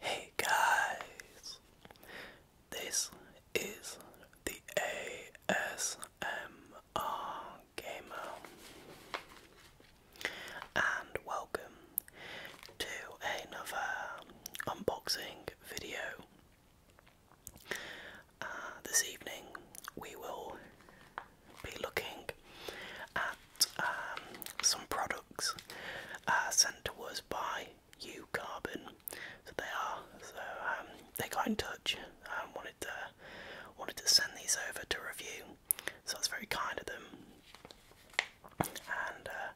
Hey guys, this is the ASM are Gamer and welcome to another unboxing video. Uh, this evening we will be looking at um, some products uh, sent to us by U Carbon. So they are so um, they got in touch and um, wanted to wanted to send these over to review. So it's very kind of them, and uh,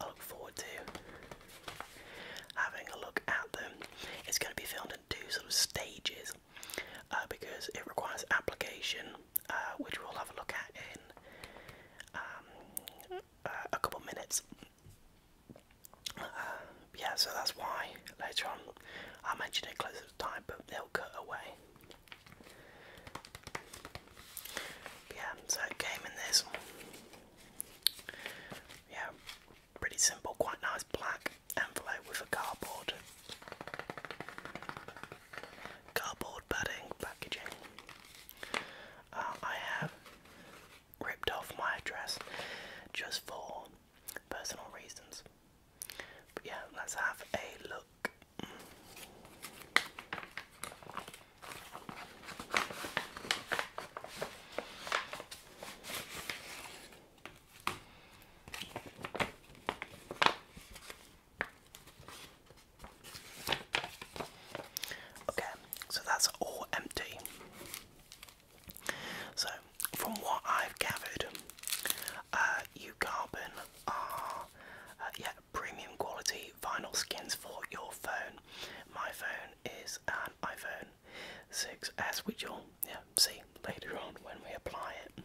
I look forward to having a look at them. It's going to be filmed in two sort of stages uh, because it requires application, uh, which we'll have a look at in um, a couple minutes yeah, so that's why later on I mention it closer to time, but they'll cut away. yeah, so it came in this. Yeah, pretty simple, quite nice black envelope with a cardboard, cardboard padding packaging. Uh, I have ripped off my address just for personal reasons. But yeah, let's have a look. Okay, so that's all empty. So, from what I've gathered, uh, Carbon are uh, yeah premium quality vinyl skins for your phone. My phone is an iPhone 6s, which i will yeah see later on when we apply it.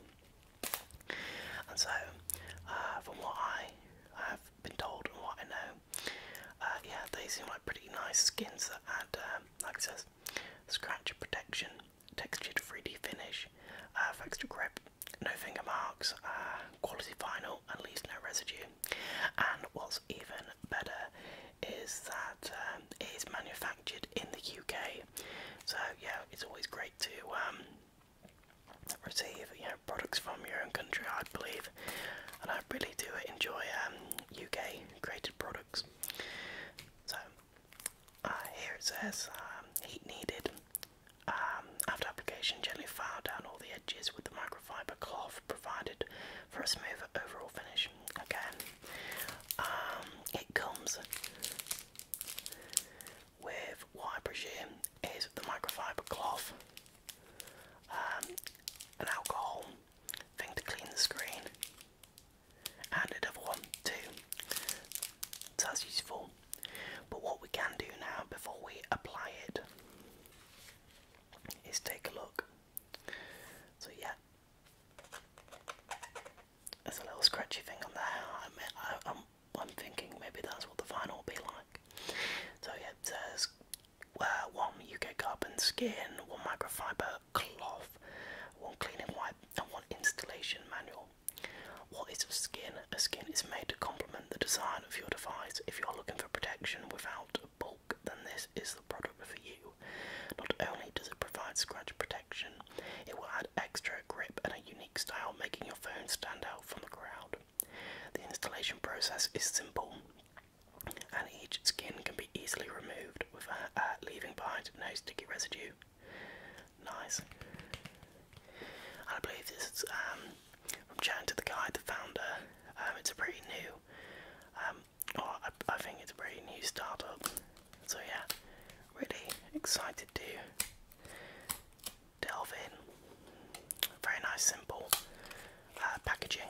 And so, uh, from what I have been told and what I know, uh, yeah, they seem like pretty nice skins that add um, like says surface, scratch protection, textured 3D finish, uh, extra grip, no finger marks, uh, quality vinyl, and leaves no residue. And what's even better is that um, it is manufactured in the UK. So yeah, it's always great to um, receive you know products from your own country. I believe, and I really do enjoy UK um, created products. So uh, here it says um, heat needed. Um, after application, gently file down all the edges with the microfiber cloth provided for a smoother overall finish. Again, um, it comes with what I presume is the microfiber cloth, um, an alcohol thing to clean the screen, and another one too. So that's useful. But what we can do now before we apply it is take a look. So yeah, there's a little scratchy thing on there. I am I'm thinking maybe that's what the final will be like. So yeah, it says uh, one UK carbon skin, one microfiber cloth one cleaning wipe, and one installation manual. What is a skin? A skin is made to complement the design of your device. If you're looking for protection without bulk, then this is the product for you. Not only does it provide scratch protection, it will add extra grip and a unique style, making your phone stand out from the crowd. The installation process is simple and each skin can be easily removed without uh, leaving behind no sticky residue. Nice. I believe this is um, from chatting to the guy, the founder. Um, it's a pretty new, um, I, think it's a pretty new startup. So yeah, really excited to delve in. Very nice, simple uh, packaging.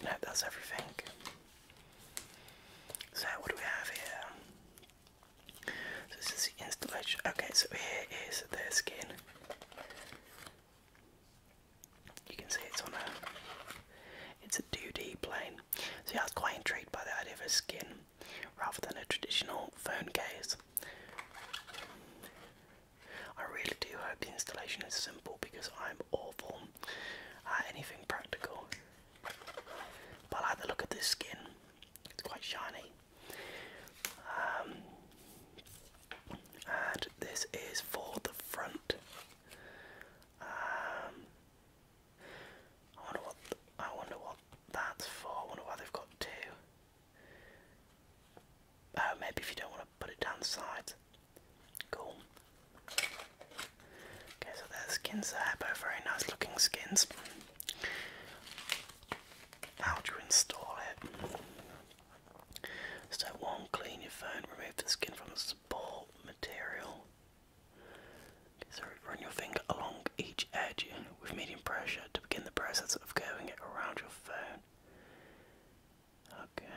And that everything. So what do we have here? this is the installation. Okay, so here is the skin. You can see it's on a it's a 2D plane. See, I was quite intrigued by the idea of a skin rather than a traditional phone case. I really do hope the installation is simple because I'm awful at anything practical. But I like the look of this skin, it's quite shiny. Um, and this is for the front. Um, I wonder what I wonder what that's for. I wonder why they've got two. Oh, maybe if you don't want put it down the sides. Cool. Okay, so there's skins there, both very nice looking skins. How do you install it? So one, clean your phone, remove the skin from the support material. Okay, so run your finger along each edge with medium pressure to begin the process of curving it around your phone. Okay.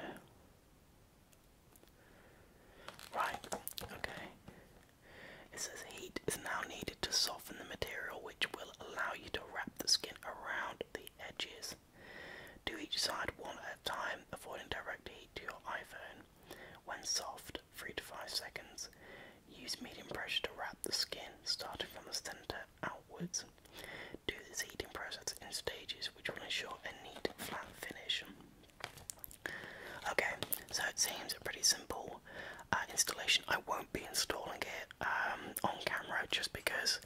Right, okay. It says heat is now needed to soften the material, which will allow you to wrap the skin around the edges. Do each side one at a time, avoiding direct heat to your iPhone. When soft, 3 to 5 seconds, use medium pressure to wrap the skin, starting from the center outwards. Do the seeding process in stages, which will ensure a neat, flat finish. Okay, so it seems a pretty simple uh, installation. I won't be installing it um, on camera just because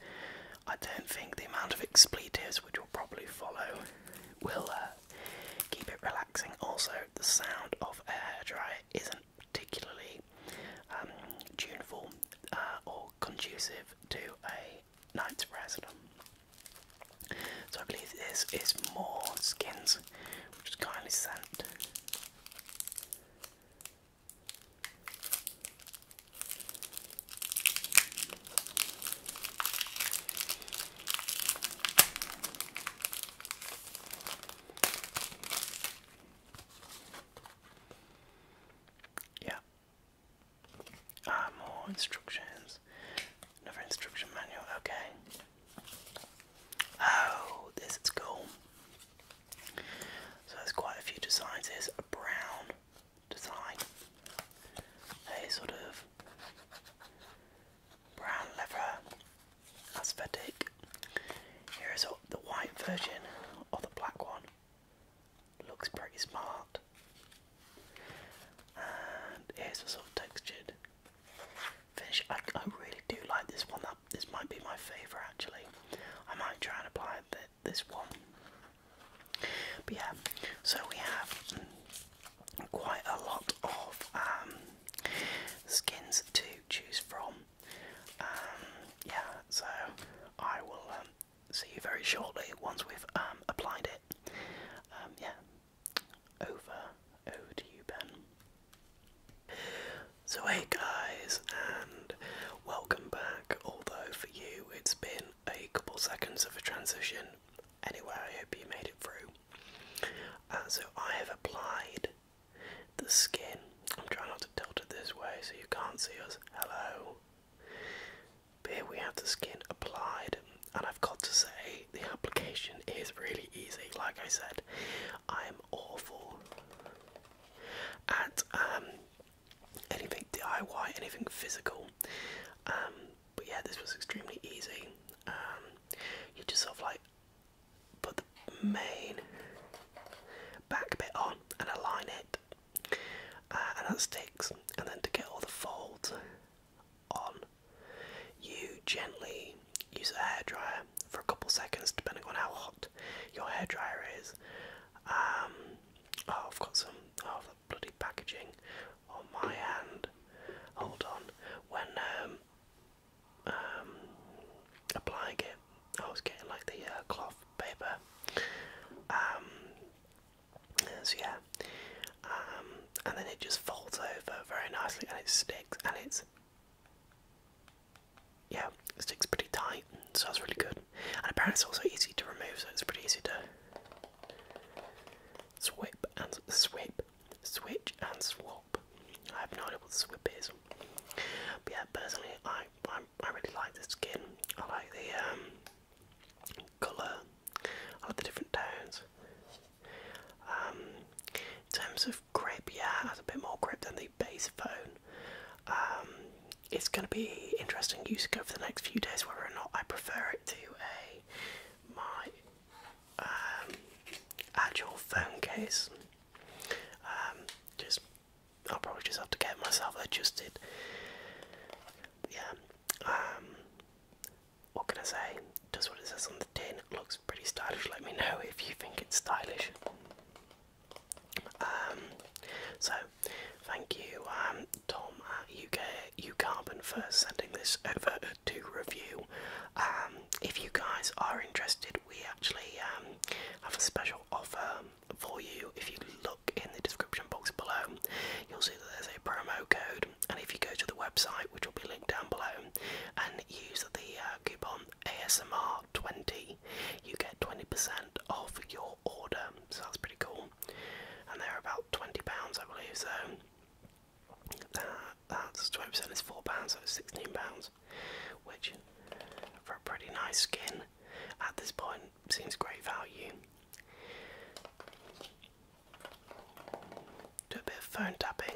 I don't think the amount of expletives which will probably follow will uh, keep it relaxing. Also, the sound of a hairdryer isn't particularly um, tuneful uh, or conducive to a night's rest. So I believe this is more skins, which is kindly sent. Yeah, Ah, more instructions. Another instruction manual, okay. Oh, this is cool. So there's quite a few designs. Here's a brown design. A sort of brown leather aesthetic. Here is the white version of the black one. Looks pretty smart. And it's a sort of textured finish. I, I really do like this one. That this might be my favourite actually. I might try and apply the, this one. But yeah, so we have quite a lot of um, skins to choose from. Um, yeah, so I will um, see you very shortly once we've um, applied it. yeah, over, over to you, Ben. So hey guys, and welcome back. Although for you it's been a couple seconds of a transition. Anyway, I hope you made it through. Uh, so I have applied the skin I'm trying not to tilt it this way so you can't see us. Hello. here we have the skin applied, and I've got to say, the application is really easy. Like I said, I'm awful at um, anything DIY, anything physical. Um, but yeah, this was extremely easy. Um, you just sort of like put the main back bit on and align it uh, and that sticks and then to get all the folds on you gently use a hairdryer for a couple seconds depending on how hot your hairdryer is um, oh I've got some oh the bloody packaging on my hand hold on when um, um, applying it, I was getting like the uh, cloth paper. Um, so yeah, um, and then it just folds over very nicely, and it sticks, and it's yeah, sticks pretty tight, so that's really good. And apparently it's also easy to remove, so it's pretty easy to swip and swip, switch and swap. I have no idea what swip is. But yeah, personally, I I, really like the skin. I like the um, colour. I like the different tones. Um, in terms of grip, yeah, it has a bit more grip than the base phone. Um, it's going to be interesting use over the next few days whether or not I prefer it to a my actual phone case. just I'll probably just have to get myself adjusted. yeah. Um, what can I say? Just what it says on the tin. looks pretty stylish. Let me know if you think it's stylish. Um, so, thank you, um, Tom at UK UCarbon for sending this over to review. Um, if you guys are interested, we actually um, have a special offer for you. If you look in the description box below, you'll see that there's a promo code. And if you go to the website, which will be linked down below, and use the uh, coupon ASMR20, you get 20% off your order. So that's pretty cool. And they're about £20, I believe. So that's 20% is £4, so it's £16 which for a pretty nice skin at this point seems great value. Do a bit of phone tapping.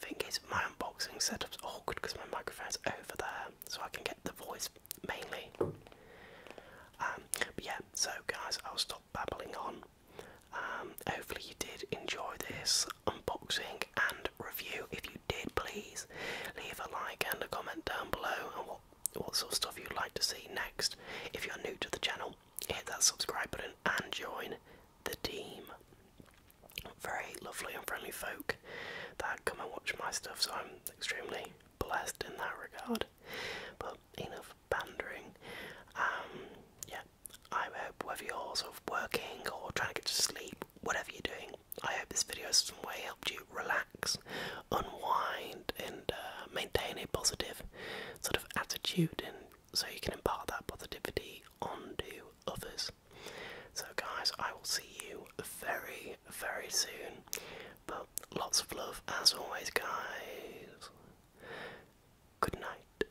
Thing is, my unboxing setup's awkward because my microphone's over there, so I can get the voice mainly. Um, but yeah, so guys, I'll stop babbling on. Um, hopefully, you did enjoy this unboxing and review. If you did, please leave a like and a comment down below and what, what sort of stuff you'd like to see next. If you're new to the channel, hit that subscribe button and join the team. Very lovely and friendly folk that come and watch my stuff, so I'm extremely blessed in that regard. But enough pandering. Um, yeah, I hope whether you're sort of working or trying to get to sleep, whatever you're doing, I hope this video has some way helped you relax, unwind, and uh, maintain a positive sort of attitude, and so you can impart that positivity onto others. So, guys, I will see you very, very soon. But lots of love as always, guys. Good night.